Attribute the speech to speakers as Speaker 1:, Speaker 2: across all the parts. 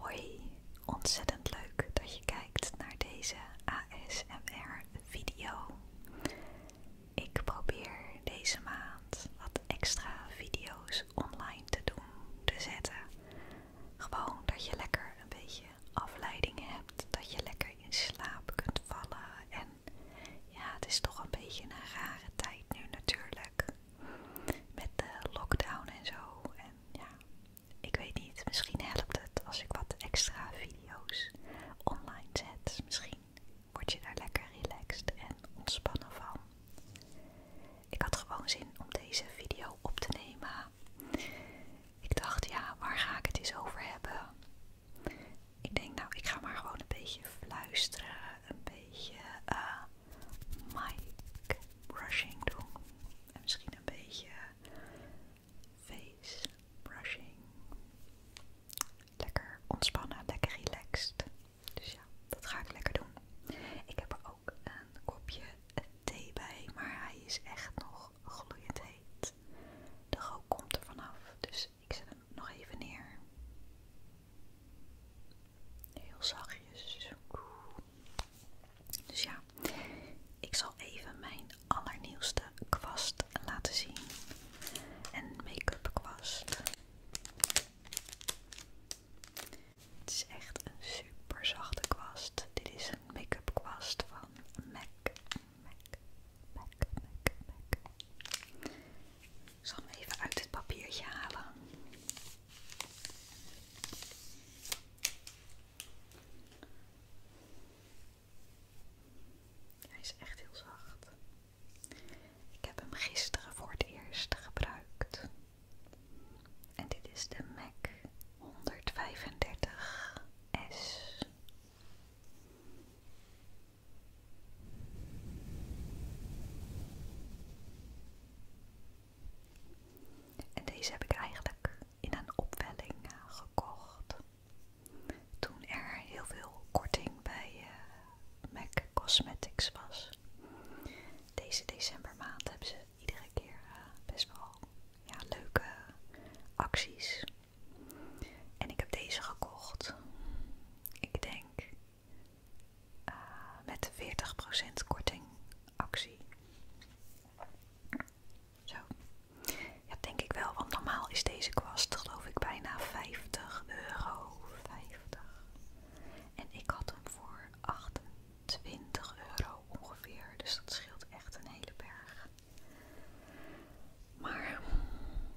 Speaker 1: Hoi, ontzettend leuk dat je kijkt naar deze ASMR-video. Ik probeer deze maand wat extra video's online te doen, te zetten. Gewoon dat je lekker een beetje afleiding hebt, dat je lekker in slaap kunt vallen en ja, het is toch een beetje een rare tijd nu natuurlijk. Met de lockdown en zo. En ja, ik weet niet, misschien helpt het als ik wat extra video's online zet. Dus misschien word je daar lekker relaxed en ontspannen van. Ik had gewoon zin om deze video op te nemen. Ik dacht, ja, waar ga ik het eens over hebben? ik denk nou, ik ga maar gewoon een beetje fluisteren, een beetje eh, mic brushing doen. En misschien een beetje face brushing. Lekker ontspannen, lekker relaxed. Dus ja, dat ga ik lekker doen. Ik heb er ook een kopje thee bij, maar hij is echt nog gloeiend heet. De rook komt er vanaf, dus ik zet hem nog even neer. Heel zachtjes. Dus ja, ik zal even mijn allernieuwste kwast laten zien. Een make-up kwast. Het is echt een super zachte kwast. Dit is een make-up kwast van MAC. MAC, MAC, MAC, MAC. Ik zal hem even uit het papiertje halen. Hij is echt heel zacht. Ik heb hem gisteren voor het eerst gebruikt. En dit is de MAC 135S. En deze heb ik eigenlijk in een opwelling eh, gekocht. Toen er heel veel korting bij eh, MAC Cosmetics was. Deze decembermaand hebben ze iedere keer eh, best wel leuke acties. En ik heb deze gekocht ik denk, eh, met met 40% korting actie. Zo. Ja, denk ik wel, want normaal is deze kwast geloof ik bijna 50 euro. 50. En ik had hem voor 28 euro ongeveer, dus dat scheelt echt een hele berg. Maar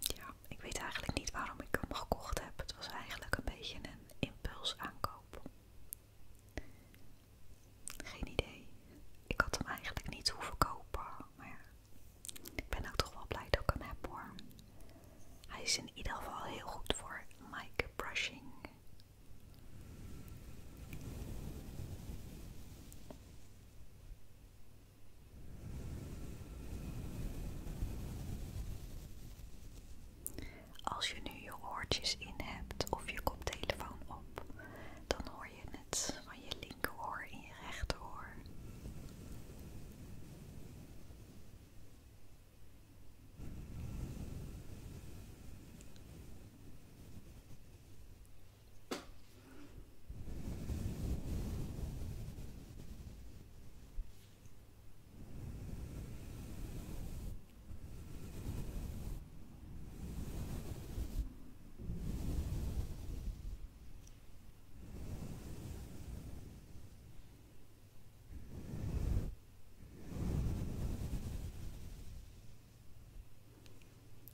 Speaker 1: ja, ik weet eigenlijk niet waarom ik hem gekocht heb. Het was eigenlijk een beetje een impuls aankoop. Geen idee. Ik had hem eigenlijk niet hoeven kopen, maar ja, ik ben ook toch wel blij dat ik hem heb hoor. Hij is in ieder geval heel goed voor mic brushing. Als je nu je oortjes in hebt of je koptelefoon op, dan hoor je het van je linkeroor in je rechteroor.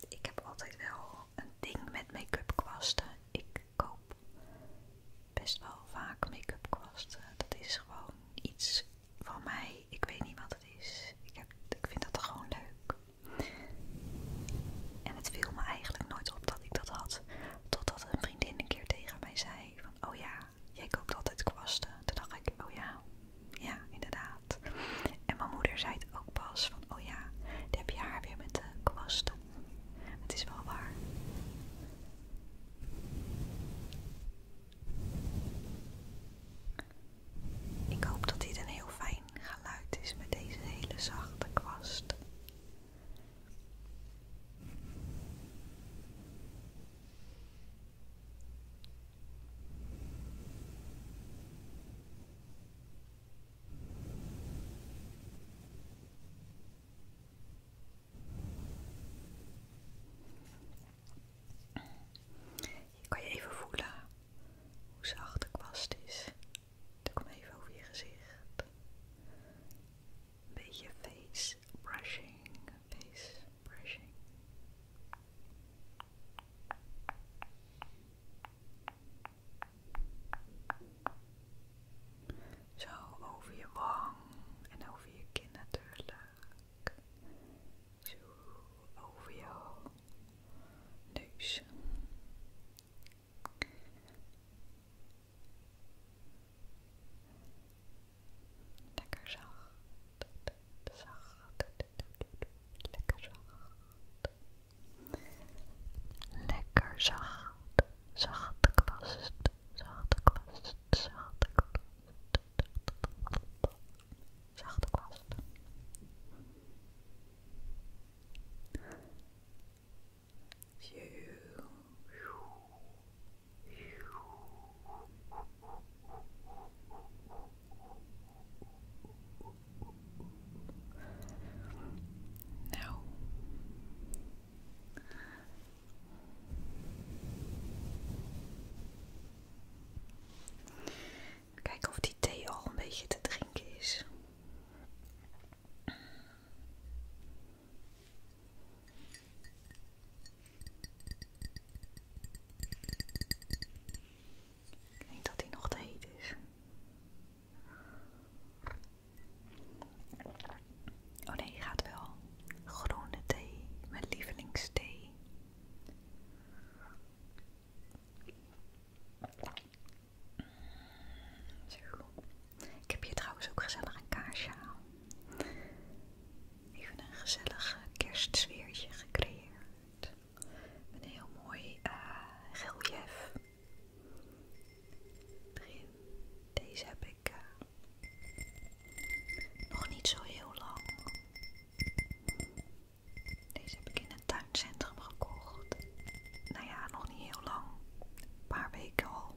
Speaker 1: Ik heb altijd wel een ding met make-up kwasten. Ik koop best wel vaak make-up kwasten. Eh, dat is gewoon iets van mij. Ik weet niet wat het is. Ik, vind dat gewoon leuk. En het viel me eigenlijk nooit op dat ik dat had. Totdat een vriendin een keer tegen mij zei van oh ja, jij koopt altijd kwasten. Toen dacht ik, oh ja, ja inderdaad. En mijn moeder zei het ook pas van oh ja, dan heb je haar weer met de kwasten het is wel waar. Ik hoop dat dit een heel fijn geluid is met deze hele zachte kwast. Je kan je even voelen hoe zacht de kwast is. Ik kom even over je gezicht. Een beetje face brushing, face brushing. Zo over je wang en over je kin natuurlijk. Zo over je neus. Lekker zacht, zacht, lekker zacht. Lekker zacht, zachte kwast, zachte kwast, zachte kwast, zachte kwast. Nou. Kijken of die thee al een beetje te drinken is. Ik denk dat hij nog te heet is. Oh nee, gaat wel. Groene thee, mijn lievelingsthee. Zo. Ik heb hier trouwens ook gezellig een kaarsje aan. Even een gezellig kerstsfeertje gecreëerd. Met een heel mooi uh, deze heb ik eh, nog niet zo heel lang. Deze heb ik in het tuincentrum gekocht. Nou ja, nog niet heel lang. paar weken al.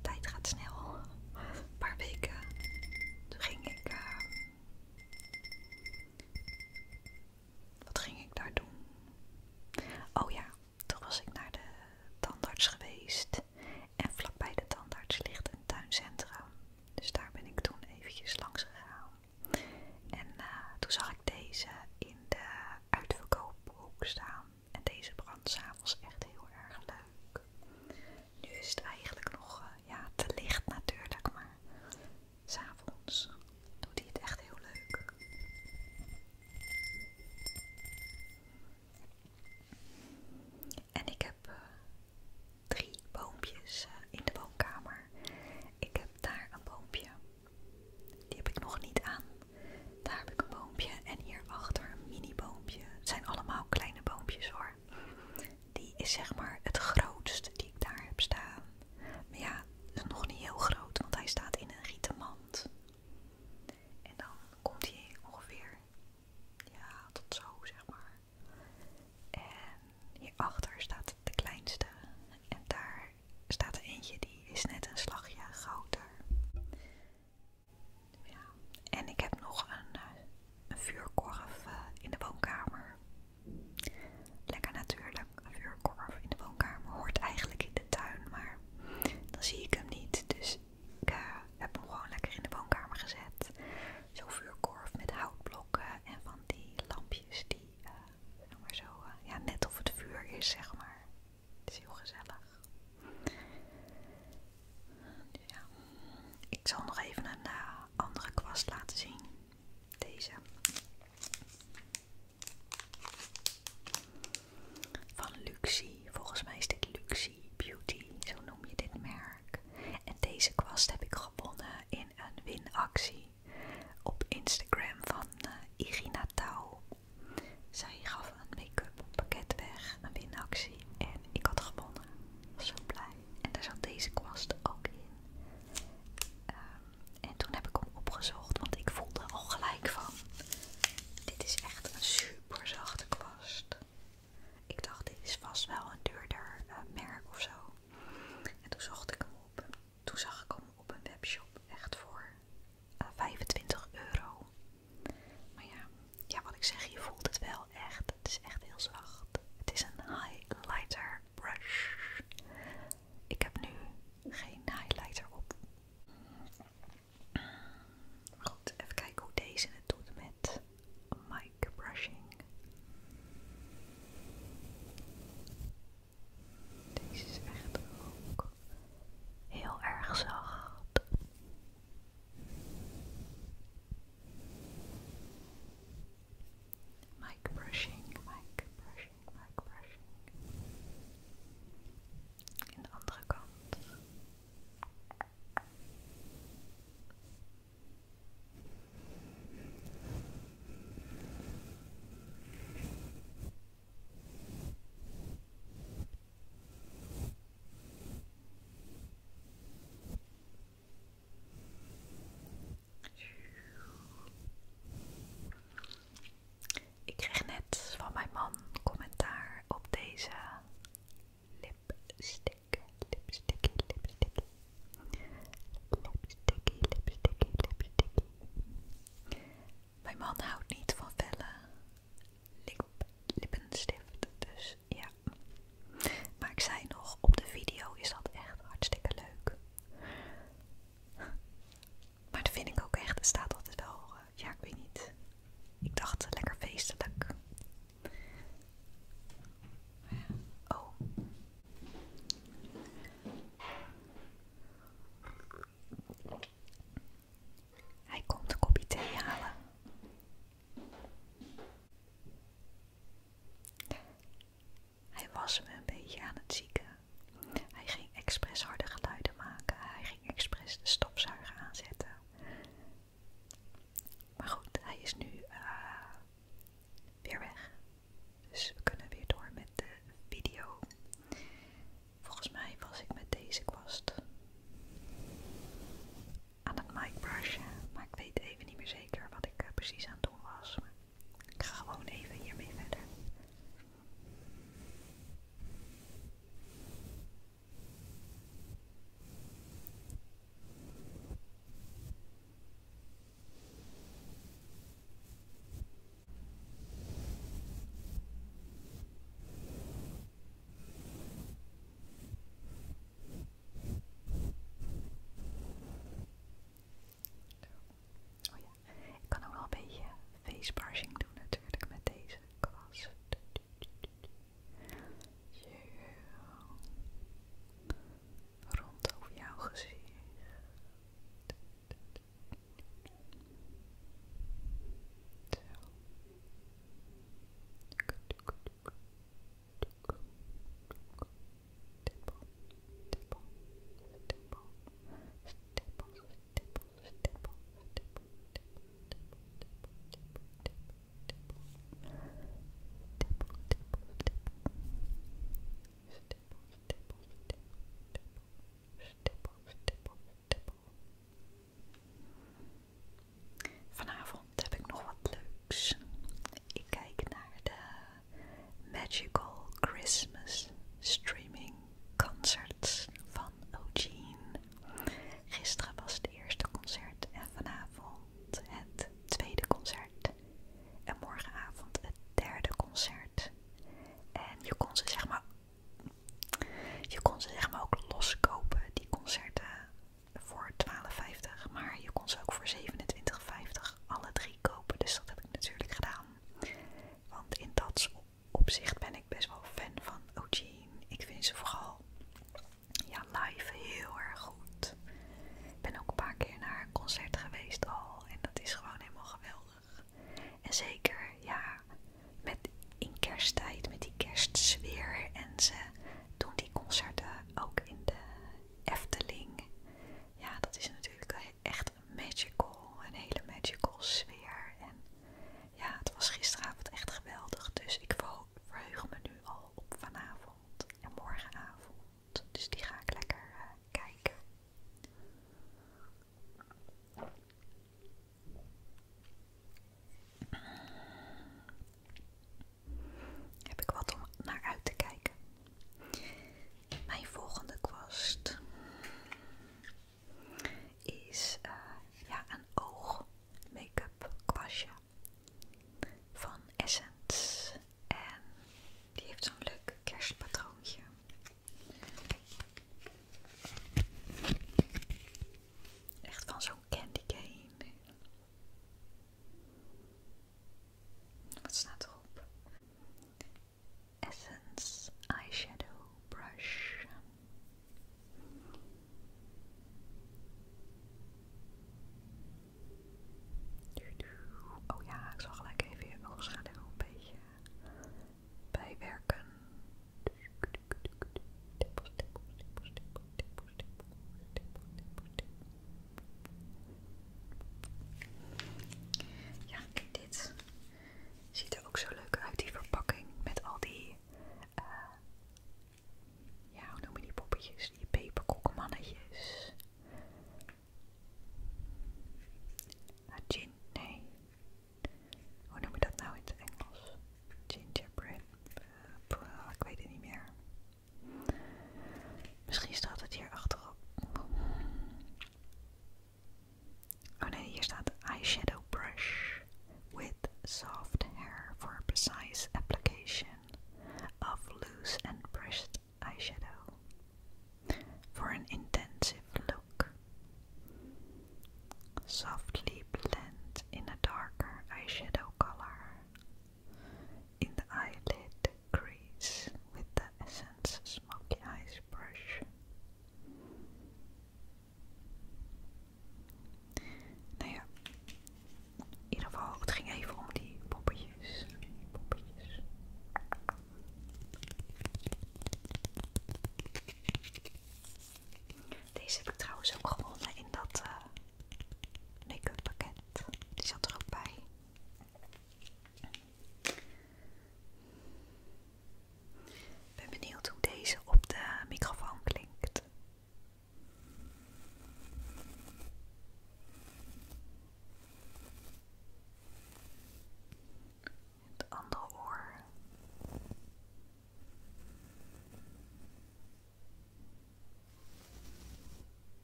Speaker 1: Tijd gaat snel. paar weken. Toen ging ik eh, wat ging ik daar doen? Oh ja, toen was ik naar de tandarts geweest. En vlakbij de tandarts ligt een tuincentrum. Dus daar ben ik toen eventjes langs gegaan. En eh, toen zag ik deze in de uitverkoophoek staan. En deze brand s'avonds echt heel erg leuk. Nu is het eigenlijk nog eh, ja, te licht natuurlijk, maar avonds doet hij het echt heel leuk. En ik heb eh, drie boompjes eh, in de woonkamer. Ik heb daar een boompje. Die heb ik nog niet aan. Daar heb ik een boompje. En hierachter een mini boompje. Het zijn allemaal kleine boompjes hoor. Die is zeg maar het grootste die ik daar heb staan. Maar ja, nog niet heel groot, want hij staat in een rieten mand. En dan komt hij ongeveer tot zo, zeg maar. En hierachter staat de kleinste. En daar staat er eentje, die is net een slagje groter. En ik heb nog een eh, vuurkorf eh, in de woonkamer. Lekker natuurlijk, vuurkorf in de woonkamer hoort eigenlijk in de tuin, maar dan zie ik hem niet. Dus ik eh, heb hem gewoon lekker in de woonkamer gezet. Zo'n vuurkorf met houtblokken en van die lampjes die eh, zo, eh, ja, net of het vuur is, zeg maar. Het is heel gezellig. Dus ik zal nog even een andere kwast laten zien. Deze. Van Luxie. Volgens mij is dit Luxie Beauty. Zo noem je dit merk. En deze kwast heb ik gewonnen in een winactie op Instagram van eh, Irina Tau. Zij gaf een make-up pakket weg, een winactie. En ik had gewonnen. Was zo blij. En daar zat deze kwast ook in. Ehm, en toen heb ik hem opgezocht, want ik voelde al gelijk van, dit is echt een super zachte kwast. Ik dacht, dit is vast wel een duurder eh, merk of zo. En toen zocht ik hem op. Toen zag ik hem op een webshop, echt voor 25 eh, euro. Maar ja, ja, wat ik zeg, je voelt het wel echt. Het is echt heel zacht. Het is een highlighter brush ik heb nu geen highlighter op. Goed, even kijken hoe deze het doet met mic brushing. Deze is echt ook heel erg zacht mic brushing, mic brushing, mic brushing. In de andere kant. Ik kreeg net van mijn man commentaar op deze lipstick, lipsticky, lipsticky, lipsticky, lipsticky, lipsticky. Mijn man houdt niet van felle lippenstift, dus ja. Maar ik zei nog, op de video is dat echt hartstikke leuk. Maar dat vind ik ook echt. Er staat altijd wel, eh, ja, ik weet niet. Ik dacht eh, lekker feestelijk. Oh. Hij komt een kopje thee halen. Hij was me een beetje aan het zieken. Hij ging expres harde geluiden maken. Hij ging expres de stofzuiger aanzetten. Maar goed, hij is nu eh, weer weg. Dus we kunnen weer door met de video. Volgens mij was ik met deze kwast aan het mic Maar ik weet even niet meer zeker wat ik eh, precies aan het doen was. Ik ga gewoon even hiermee verder. Oh ja, ik kan ook wel een beetje face doen natuurlijk met deze kwast. Rond over jouw gezicht. Zo stippel, stippel, stippel, stippel, stippel, stippel, stippel, Vanavond heb ik nog wat leuks. Ik kijk naar de Magical Christmas streaming concerts van O'Gene. Gisteren was het eerste concert en vanavond het tweede concert. En morgenavond het derde concert. En je kon ze zeg maar, je kon ze zeg maar ook loskopen, die concerten, voor 12,50. Maar je kon ze ook voor 27,50 alle drie kopen. Dus dat heb ik natuurlijk gedaan. Want in dat opzicht ben ik best wel fan van Ojin. Ik vind ze vooral ja, live heel erg goed. Ik ben ook een paar keer naar een concert geweest al. En dat is gewoon helemaal geweldig. En zeker, ja, met in kersttijd, met die kerstsfeer. En ze doen die concerten ook in de Efteling ja, dat is natuurlijk echt magical, een hele magical sfeer. En ja, het was gisteravond echt geweldig, dus ik verheug me nu al op vanavond en morgenavond. Dus die ga ik lekker eh, kijken. Heb ik wat om naar uit te kijken? Mijn volgende kwast is eh, ja, een oog make-up kwastje van Essence. En die heeft zo'n leuk kerstpatroontje. Echt van zo'n candy cane. Wat staat erop? Essence Eyeshadow Brush. Oh ja, ik zal gelijk even je oogschaduw een beetje bijwerken. Ja, kijk dit. Ziet er ook zo leuk uit, die verpakking met al die, eh ja, hoe noem die poppetjes? Die peperkokkenmannetjes. Ah, gin, nee. Hoe noem je dat nou in het Engels? Gingerbread. Eh, ik weet het niet meer. Misschien staat het hier achterop. Oh nee, hier staat eyeshadow brush with soft hair for precise application of loose and brushed eyeshadow for an intensive look. Softly blend in a darker eyeshadow color in the eyelid crease with the Essence Smoky Eyes brush. Nou ja, in ieder geval, het ging even om die poppetjes. Deze heb ik trouwens ook gewonnen in dat uh, eh, make pakket. Die zat er ook bij ben benieuwd hoe deze op de microfoon klinkt. Het andere oor.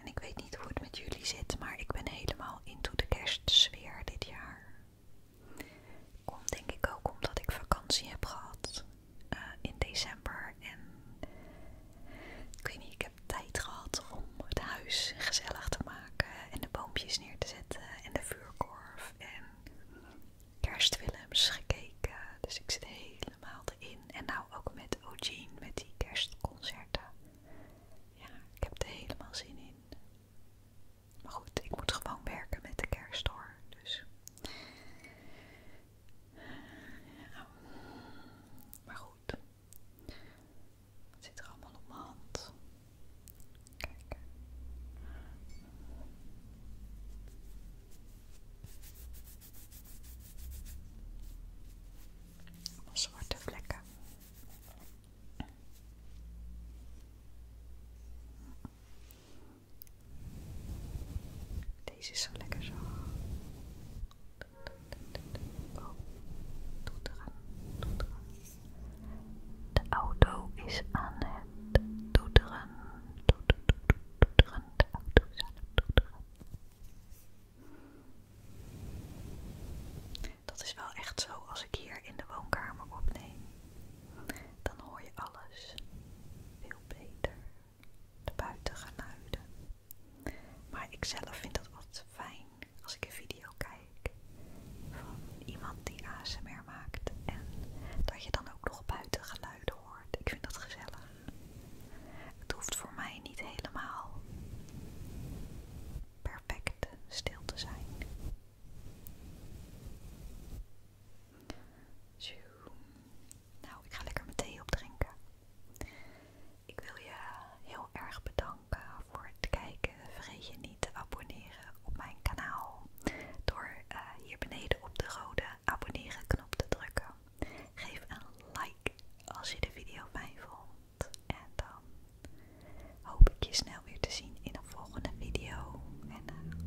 Speaker 1: En ik weet niet hoe het met jullie zit, maar ik ben helemaal into de kerstsfeer dit jaar. Komt denk ik ook omdat ik vakantie heb gehad eh, in december en ik tijd gehad om het huis gezellig te maken en de boompjes neer te zetten en de vuurkorf en kerstfilms gekeken. Dus ik zit helemaal erin. En nou ook met Eugene, met die kerstconcerten. Ja, ik heb er helemaal zin in. Maar goed, ik moet gewoon werken met de kerst Dus. Ja. Maar goed. Het zit er allemaal om hand? Kijk. zwarte vlekken. Deze is zo lekker zo. De auto is aan het toeteren. de auto is aan het toeteren. Dat is wel echt zo als ik hier in de woonkamer opneem. Dan hoor je alles veel beter. De buitengeluiden. Maar ik zelf vind dat wat fijn als ik een video kijk van iemand die ASMR maakt en dat je dan ook nog buiten geluiden hoort. Ik vind dat gezellig. Het hoeft voor mij niet helemaal perfect stil te zijn. Zo. Nou, ik ga lekker mijn thee opdrinken. Ik wil je heel erg bedanken voor het kijken. Vergeet je niet te abonneren op mijn kanaal door eh, hier beneden op de rode abonneren knop te drukken. Geef een like als je de video fijn vond. En dan hoop ik je snel weer te zien in een volgende video. En eh,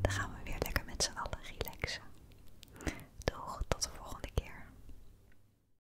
Speaker 1: dan gaan we weer lekker met z'n allen relaxen. Doeg, tot de volgende keer.